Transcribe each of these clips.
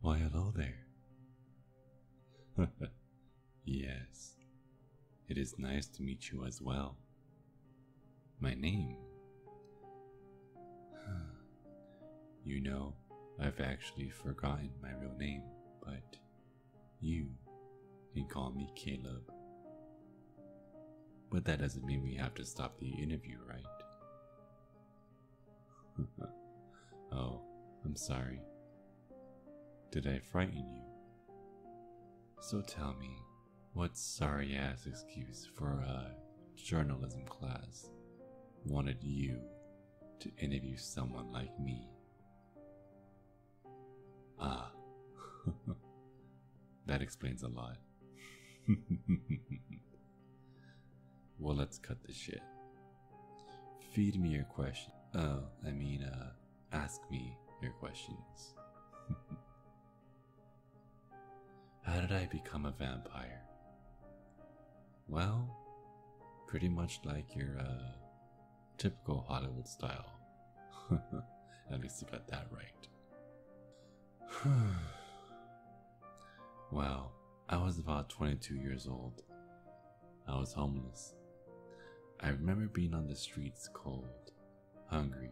Why, hello there. yes, it is nice to meet you as well. My name. you know, I've actually forgotten my real name, but you can call me Caleb. But that doesn't mean we have to stop the interview, right? oh, I'm sorry. Did I frighten you? So tell me, what sorry ass excuse for a journalism class wanted you to interview someone like me? Ah, that explains a lot. well, let's cut the shit. Feed me your questions. Oh, I mean, uh, ask me your questions. How did I become a vampire? Well, pretty much like your uh, Typical Hollywood style. At least you got that right. well, I was about 22 years old. I was homeless. I remember being on the streets cold, hungry,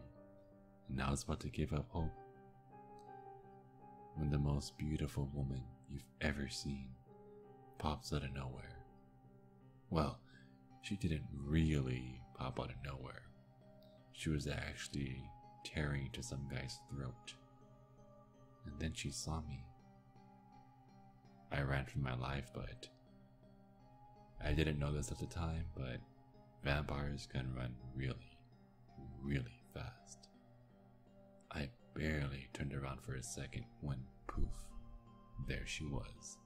and I was about to give up hope. When the most beautiful woman you've ever seen pops out of nowhere well, she didn't really pop out of nowhere. She was actually tearing into some guy's throat. And then she saw me. I ran for my life, but I didn't know this at the time, but vampires can run really, really fast. I barely turned around for a second when poof, there she was.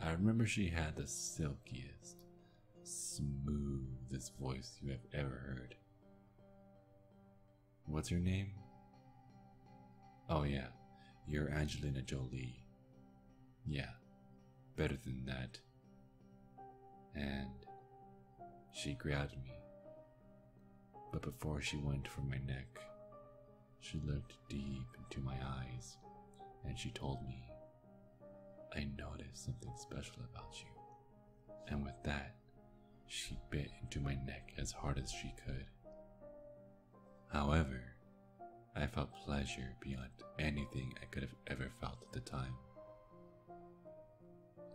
I remember she had the silkiest, smoothest voice you have ever heard. What's her name? Oh, yeah, you're Angelina Jolie. Yeah, better than that. And she grabbed me. But before she went for my neck, she looked deep into my eyes and she told me, I noticed something special about you. And with that, she bit into my neck as hard as she could. However, I felt pleasure beyond anything I could have ever felt at the time.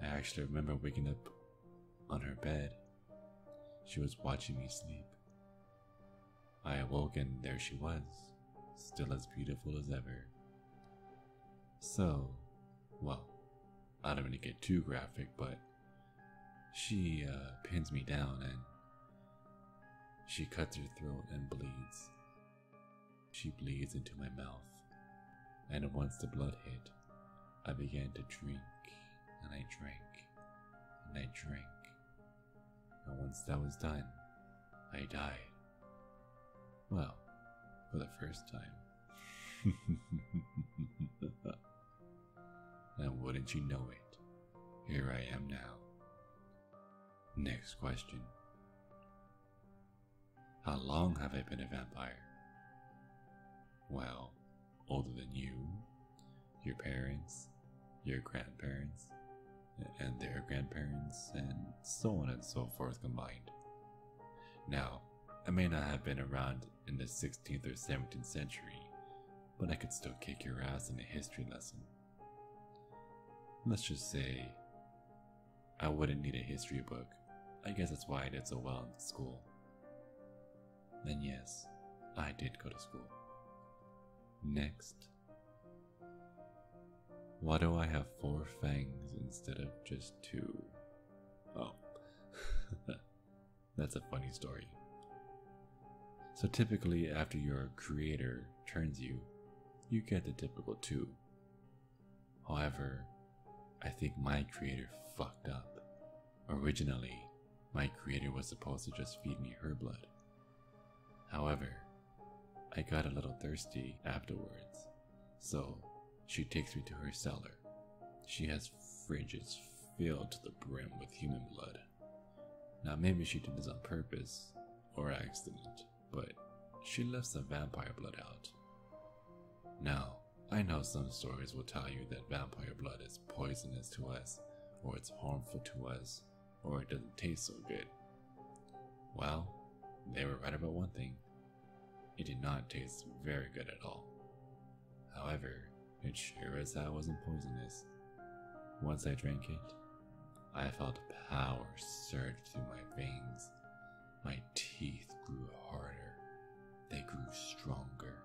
I actually remember waking up on her bed. She was watching me sleep. I awoke and there she was, still as beautiful as ever. So, well, I don't want to get too graphic, but she uh, pins me down and she cuts her throat and bleeds. She bleeds into my mouth, and once the blood hit, I began to drink and I drank and I drank. And once that was done, I died. Well, for the first time. and wouldn't you know it, here I am now. Next question How long have I been a vampire? Well, older than you, your parents, your grandparents, and their grandparents, and so on and so forth combined. Now, I may not have been around in the 16th or 17th century, but I could still kick your ass in a history lesson. Let's just say I wouldn't need a history book. I guess that's why I did so well in school then yes, I did go to school. Next. Why do I have four fangs instead of just two? Oh, that's a funny story. So, typically, after your creator turns you, you get the typical two. However, I think my creator fucked up Originally, my creator was supposed to just feed me her blood. However, I got a little thirsty afterwards, so she takes me to her cellar. She has fridges filled to the brim with human blood. Now, maybe she did this on purpose or accident, but she left the vampire blood out. Now, I know some stories will tell you that vampire blood is poisonous to us, or it's harmful to us, or it doesn't taste so good. Well, they were right about one thing it did not taste very good at all. However, it sure as that wasn't poisonous. Once I drank it, I felt power surge through my veins. My teeth grew harder, they grew stronger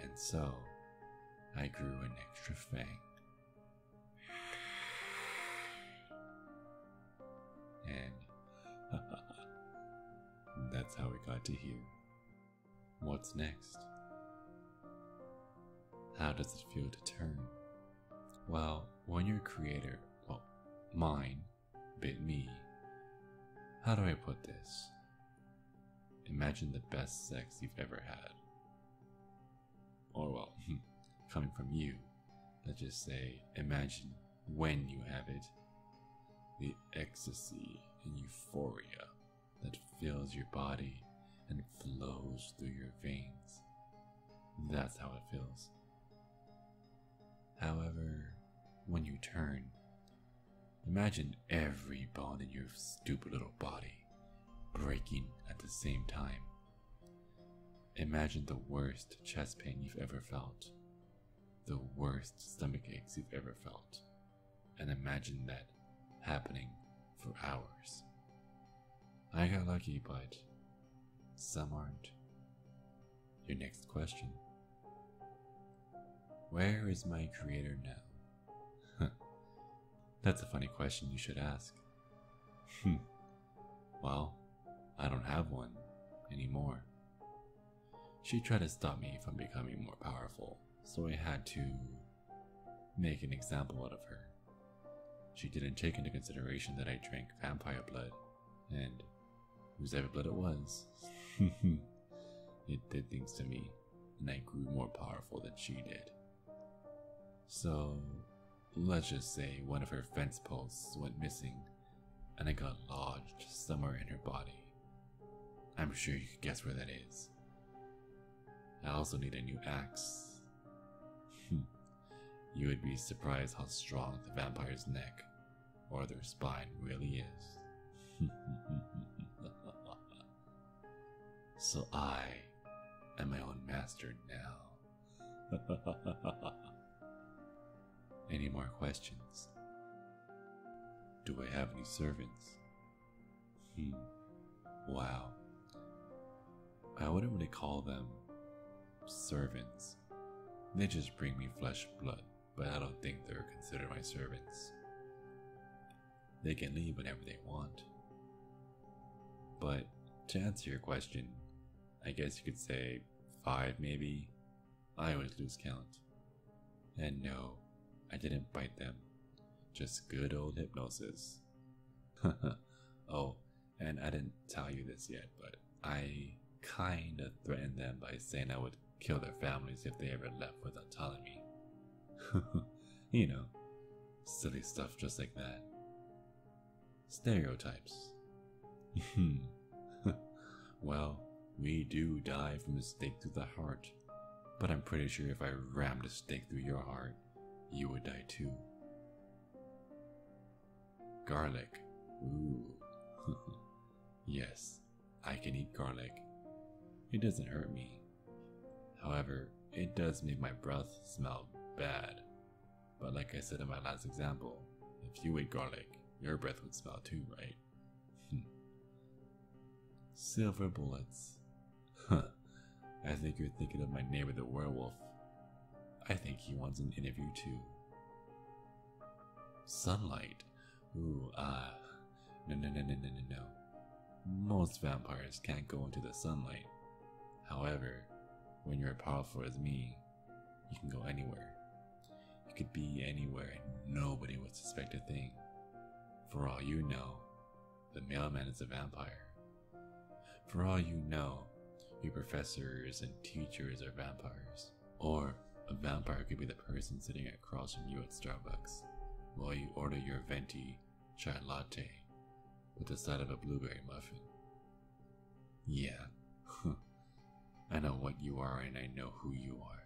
and so I grew an extra fang. And that's how we got to here. What's next? How does it feel to turn? Well, when your creator, well, mine, bit me, how do I put this? Imagine the best sex you've ever had. Or, well, coming from you, let's just say, imagine when you have it. The ecstasy and euphoria that fills your body and flows through your veins. That's how it feels. However, when you turn, Imagine every bone in your stupid little body breaking at the same time. Imagine the worst chest pain you've ever felt, the worst stomach aches you've ever felt, and imagine that happening for hours. I got lucky, but some aren't. Your next question Where is my creator now? That's a funny question you should ask. Hmm. Well, I don't have one anymore. She tried to stop me from becoming more powerful, so I had to make an example out of her. She didn't take into consideration that I drank vampire blood, and whose ever blood it was, it did things to me and I grew more powerful than she did. So, let's just say one of her fence posts went missing and it got lodged somewhere in her body. I'm sure you could guess where that is. I also need a new axe. Hmm. you would be surprised how strong the vampire's neck or their spine really is. So I am my own master now. any more questions? Do I have any servants? Hmm. Wow. I wouldn't really call them servants. They just bring me flesh and blood, but I don't think they're considered my servants. They can leave whenever they want. But to answer your question, I guess you could say five maybe. I always lose count. And no, I didn't bite them. Just good old hypnosis. oh, and I didn't tell you this yet, but I kinda threatened them by saying I would kill their families if they ever left without telling me. you know, silly stuff just like that. Stereotypes. Hmm. well, we do die from a stake through the heart, but I'm pretty sure if I rammed a stake through your heart, you would die too. Garlic. yes, I can eat garlic. It doesn't hurt me. However, it does make my breath smell bad. But like I said in my last example, if you ate garlic, your breath would smell too, right? Hmm. Silver bullets. Huh. I think you're thinking of my neighbor the werewolf. I think he wants an interview too. Sunlight. Ooh, ah, no, no, no, no, no, no, Most vampires can't go into the sunlight. However, when you're powerful as me, you can go anywhere. You could be anywhere and nobody would suspect a thing. For all you know, the mailman is a vampire. For all you know, your professors and teachers are vampires. Or a vampire could be the person sitting across from you at Starbucks while you order your venti chai latte with the side of a blueberry muffin. Yeah, I know what you are and I know who you are.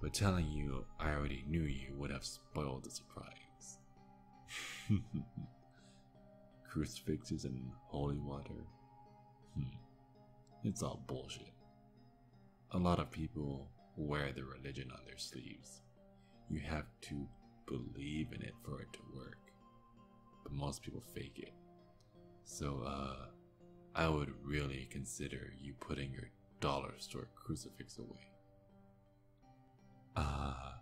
But telling you I already knew you would have spoiled the surprise. Crucifixes and holy water. Hmm. It's all bullshit a lot of people wear their religion on their sleeves. You have to believe in it for it to work. But most people fake it. So, uh, I would really consider you putting your dollar store crucifix away. Ah,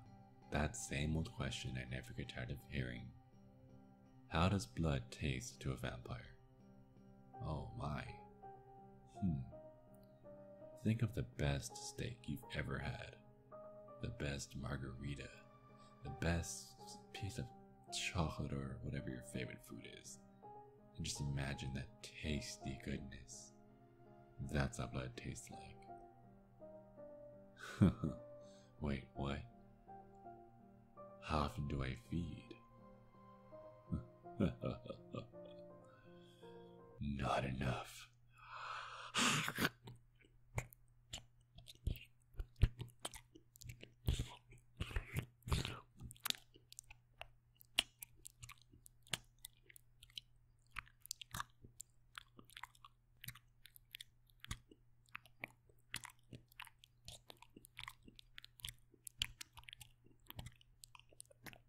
that same old question I never get tired of hearing. How does blood taste to a vampire? Oh my. Hmm. Think of the best steak you've ever had, the best margarita, the best piece of chocolate or whatever your favorite food is, and just imagine that tasty goodness. That's how blood tastes like. Wait, what? How often do I feed? Not enough.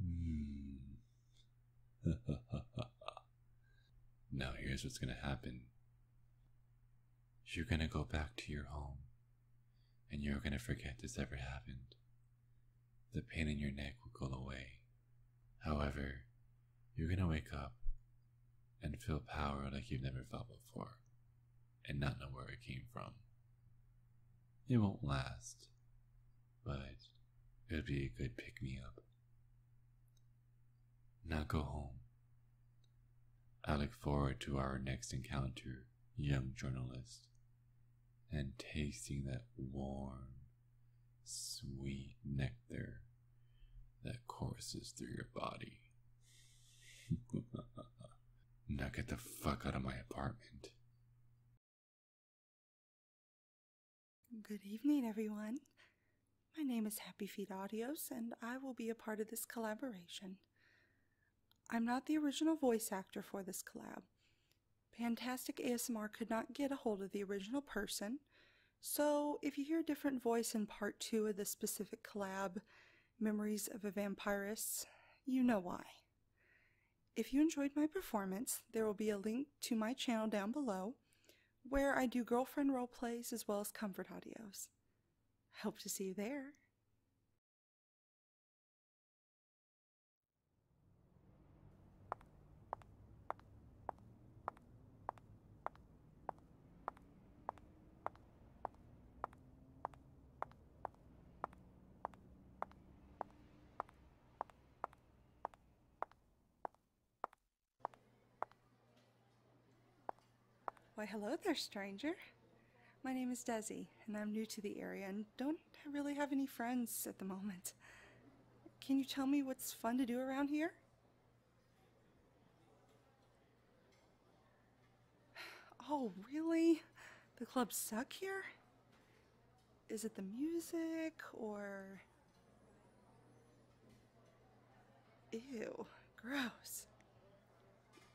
Hmm. now, here's what's going to happen you're going to go back to your home and you're going to forget this ever happened the pain in your neck will go away. However, you're going to wake up and feel power like you've never felt before and not know where it came from. It won't last, but it'll be a good pick me up. Now go home. I look forward to our next encounter, young journalist, and tasting that warm, sweet nectar that courses through your body. now get the fuck out of my apartment. Good evening, everyone. My name is Happy Feet Audios, and I will be a part of this collaboration. I'm not the original voice actor for this collab. Fantastic ASMR could not get a hold of the original person, so if you hear a different voice in part two of the specific collab, Memories of a Vampirist, you know why. If you enjoyed my performance, there will be a link to my channel down below where I do girlfriend role plays as well as comfort audios. Hope to see you there. Why, hello there, stranger. My name is Desi, and I'm new to the area and don't really have any friends at the moment. Can you tell me what's fun to do around here? Oh, really? The clubs suck here? Is it the music or. Ew, gross.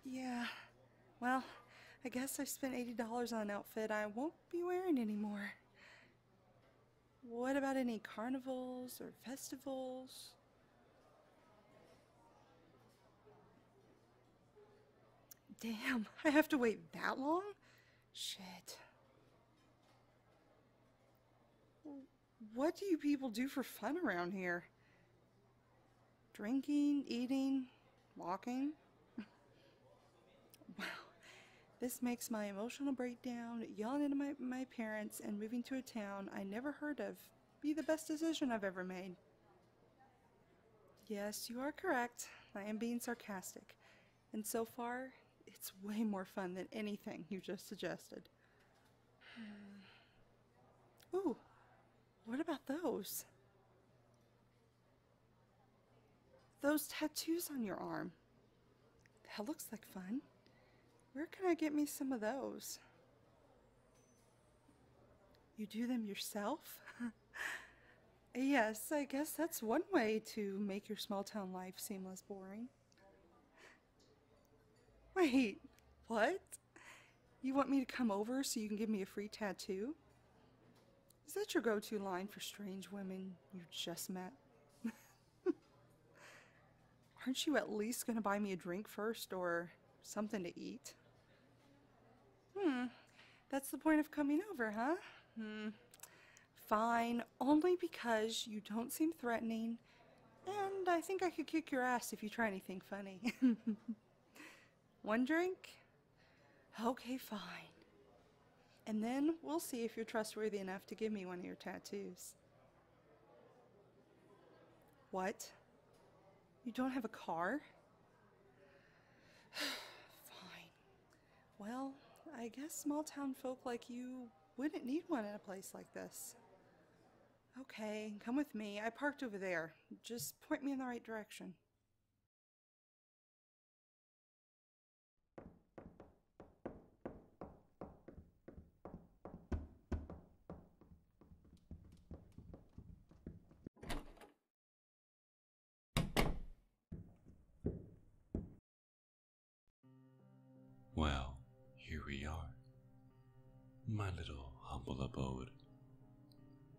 Yeah, well, I guess i spent $80 on an outfit I won't be wearing anymore. What about any carnivals or festivals? Damn, I have to wait that long? Shit. What do you people do for fun around here? Drinking, eating, walking? Wow. This makes my emotional breakdown, yelling at my, my parents, and moving to a town I never heard of be the best decision I've ever made. Yes, you are correct. I am being sarcastic. And so far, it's way more fun than anything you just suggested. Ooh, what about those? Those tattoos on your arm. That looks like fun. Where can I get me some of those? You do them yourself? yes, I guess that's one way to make your small town life seem less boring. Wait, what? You want me to come over so you can give me a free tattoo? Is that your go to line for strange women you just met? Aren't you at least going to buy me a drink first or something to eat? Hmm, that's the point of coming over, huh? Hmm, fine, only because you don't seem threatening, and I think I could kick your ass if you try anything funny. One drink? Okay, fine. And then we'll see if you're trustworthy enough to give me one of your tattoos. What? You don't have a car? Fine. Well, I guess small town folk like you wouldn't need one in a place like this. Okay, come with me. I parked over there. Just point me in the right direction. Well, here we are. My little humble abode.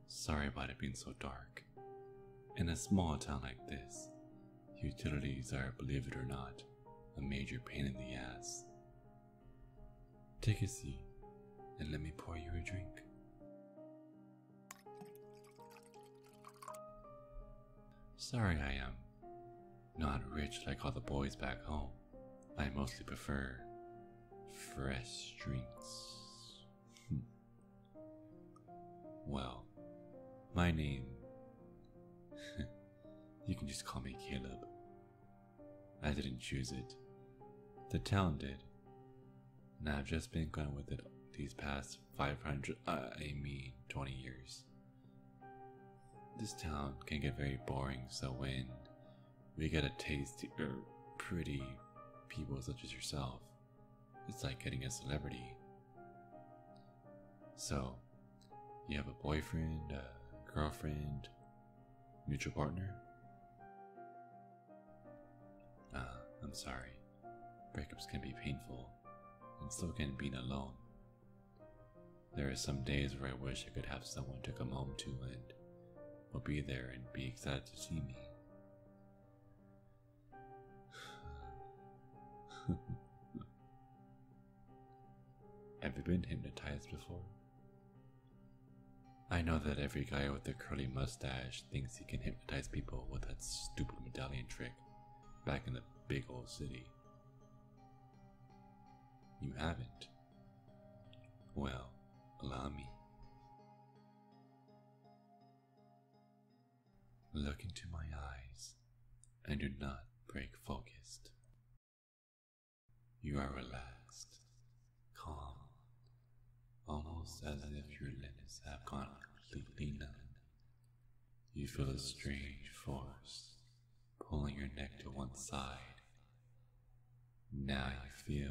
Sorry about it being so dark. In a small town like this, Utilities are, believe it or not, a major pain in the ass. Take a seat and let me pour you a drink. Sorry I am. Not rich like all the boys back home. I mostly prefer fresh drinks. Hmm. well, my name you can just call me Caleb. I didn't choose it. The town did. And I've just been going with it these past 500, uh, I mean 20 years. This town can get very boring, so when we get a taste of pretty people such as yourself, it's like getting a celebrity. So, you have a boyfriend, a girlfriend, mutual partner? Ah, I'm sorry. Breakups can be painful, and so can being alone. There are some days where I wish I could have someone to come home to and will be there and be excited to see me. Have you been hypnotized before? I know that every guy with a curly mustache thinks he can hypnotize people with that stupid medallion trick back in the big old city. You haven't. Well, allow me. Look into my eyes and do not break focus. You are relaxed, calm, almost as if your limbs have gone completely numb. You feel a strange force pulling your neck to one side. Now you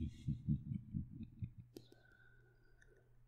feel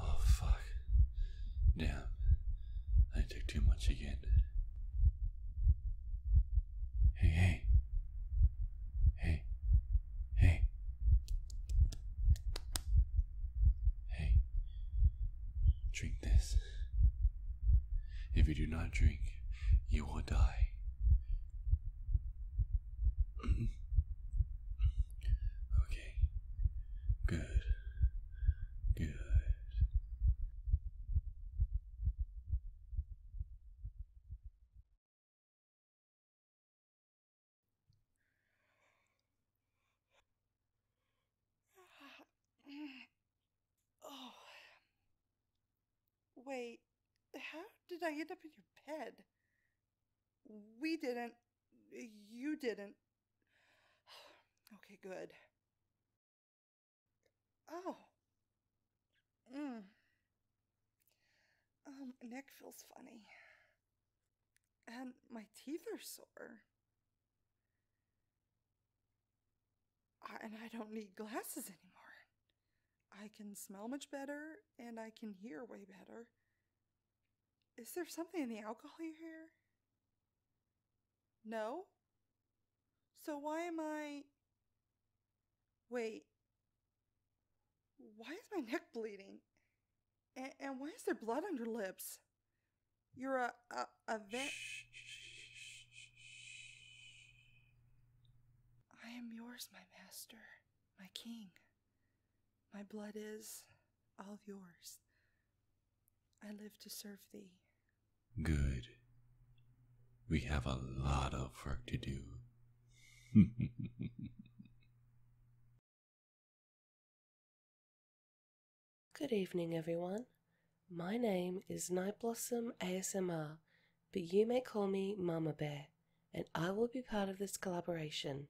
Oh, fuck. Damn. I took too much again. Hey, hey. Hey. Hey. Hey. Drink this. If you do not drink, you will die. okay. Good. Good. oh. Wait, how did I end up in your bed? We didn't. You didn't. okay, good. Oh. Mm. my um, neck feels funny. And my teeth are sore and I don't need glasses anymore. I can smell much better and I can hear way better. Is there something in the alcohol you hear? No? So why am I. Wait. Why is my neck bleeding? And, why is there blood on your lips? You're a, a vet. I am yours, my master, my king. My blood is all yours. I live to serve thee. Good. We have a lot of work to do. Good evening, everyone. My name is Nightblossom ASMR, but you may call me Mama Bear, and I will be part of this collaboration.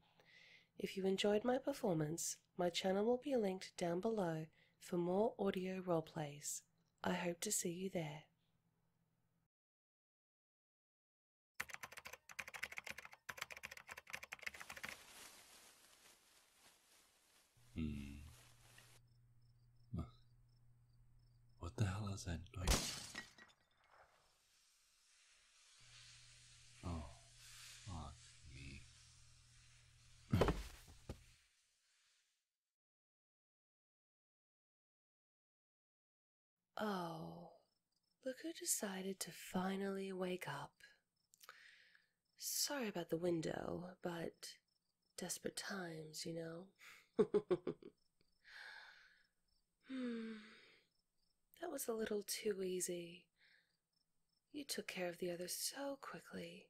If you enjoyed my performance, my channel will be linked down below for more audio roleplays. I hope to see you there. Hmm. What the hell is that noise? Oh, fuck me. oh, look who decided to finally wake up. Sorry about the window, but desperate times, you know? hmm. That was a little too easy. You took care of the other so quickly.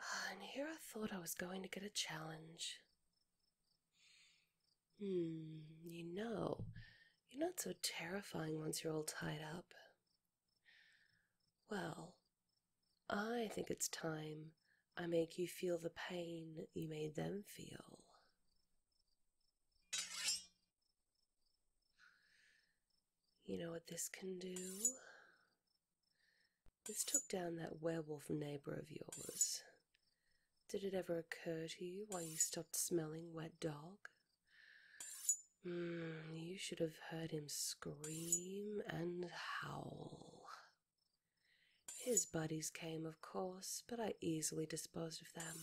Ah, and here I thought I was going to get a challenge. Hmm, you know, you're not so terrifying once you're all tied up. Well, I think it's time I make you feel the pain you made them feel. You know what this can do? This took down that werewolf neighbor of yours. Did it ever occur to you why you stopped smelling wet dog? Hmm, you should have heard him scream and howl. His buddies came, of course, but I easily disposed of them.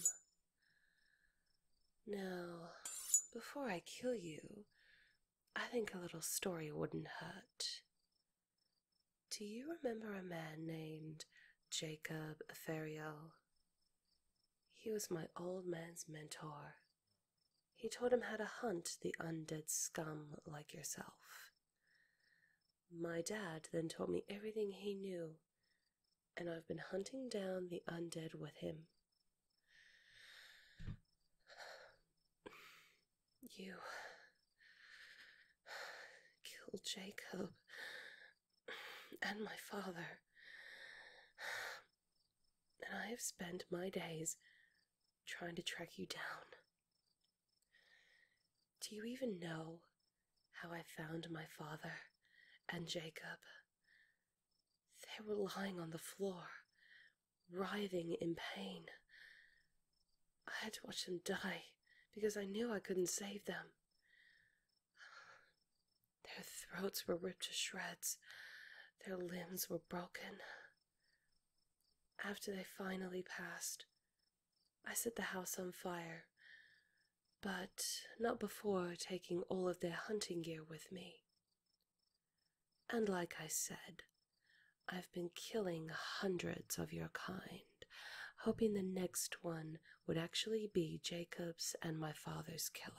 Now, before I kill you, I think a little story wouldn't hurt. Do you remember a man named Jacob Aferiel? He was my old man's mentor. He taught him how to hunt the undead scum like yourself. My dad then told me everything he knew, and I've been hunting down the undead with him. You killed Jacob and my father, and I have spent my days trying to track you down. Do you even know how I found my father and Jacob? They were lying on the floor, writhing in pain. I had to watch them die because I knew I couldn't save them. Their throats were ripped to shreds, their limbs were broken. After they finally passed, I set the house on fire, but not before taking all of their hunting gear with me. And like I said, I've been killing hundreds of your kind, hoping the next one would actually be Jacob's and my father's killer.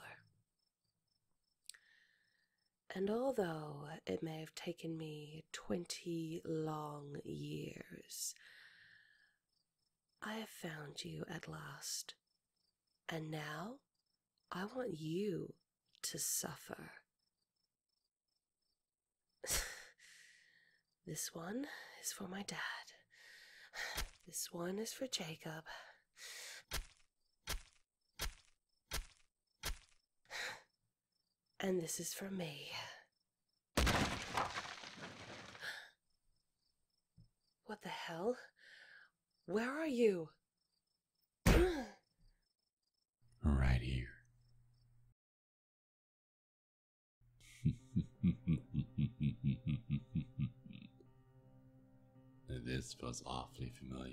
And although it may have taken me twenty long years. I have found you at last, and now I want you to suffer. this one is for my dad. This one is for Jacob. And this is for me. What the hell? Where are you? right here. this was awfully familiar.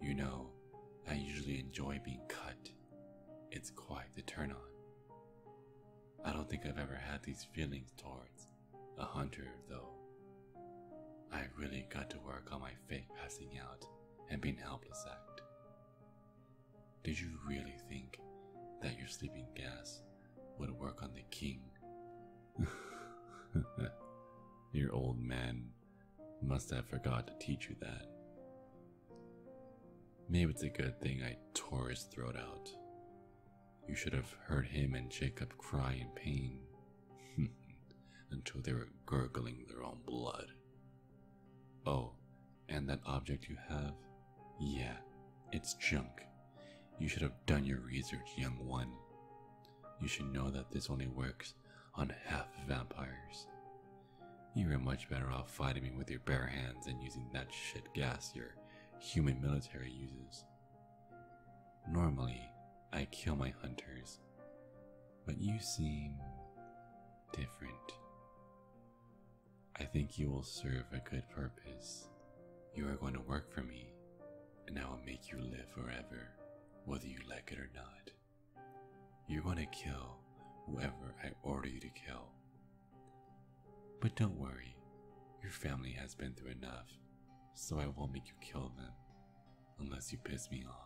You know, I usually enjoy being cut. It's quite the turn on. I don't think I've ever had these feelings towards a hunter, though. I really got to work on my fake passing out and being helpless act. Did you really think that your sleeping gas would work on the king? your old man must have forgot to teach you that. Maybe it's a good thing I tore his throat out. You should have heard him and Jacob cry in pain until they were gurgling their own blood. Oh, and that object you have? Yeah, it's junk. You should have done your research, young one. You should know that this only works on half vampires. You are much better off fighting me with your bare hands than using that shit gas your human military uses. Normally, I kill my hunters, but you seem different. I think you will serve a good purpose. You are going to work for me, and I will make you live forever, whether you like it or not. You're gonna kill whoever I order you to kill. But don't worry, your family has been through enough, so I won't make you kill them unless you piss me off.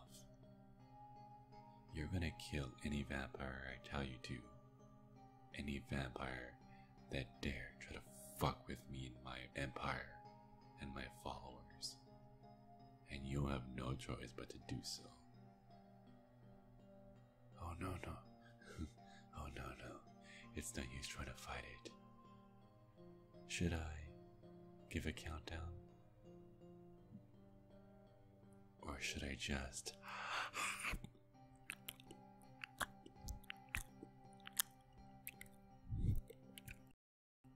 You're gonna kill any vampire I tell you to. Any vampire that dare try to fuck with me and my empire and my followers. And you'll have no choice but to do so. Oh no no. oh no no. It's no use trying to fight it. Should I give a countdown? Or should I just.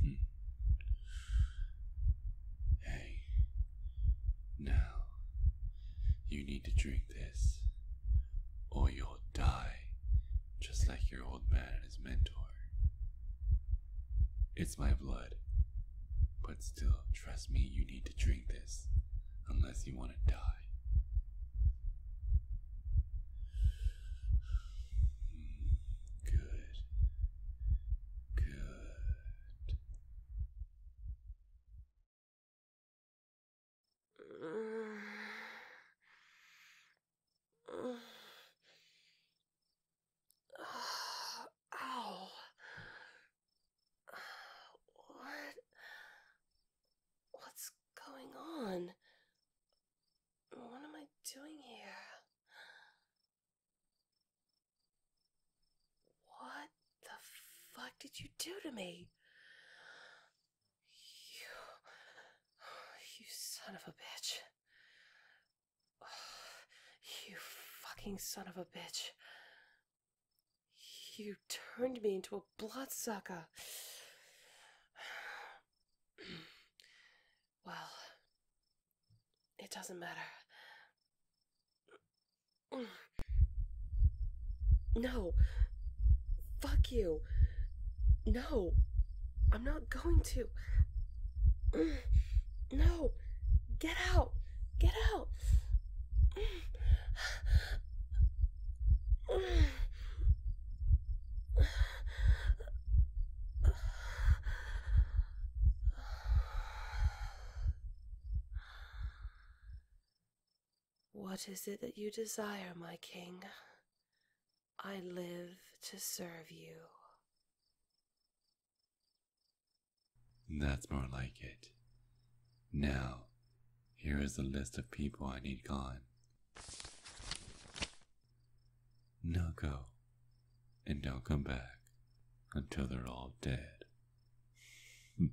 Hmm. Hey, now you need to drink this, or you'll die just like your old man and his mentor. It's my blood, but still, trust me, you need to drink this unless you want to die. Hmm, good. Good. Ow. What? What's going on? What am I doing here? What the fuck did you do to me? You. You son of a bitch. You fucking son of a bitch. You turned me into a bloodsucker. well, it doesn't matter. No. Fuck you. No. I'm not going to. No. Get out. Get out. What is it that you desire, my king? I live to serve you. That's more like it. Now, here is the list of people I need gone. Now go, and don't come back until they're all dead.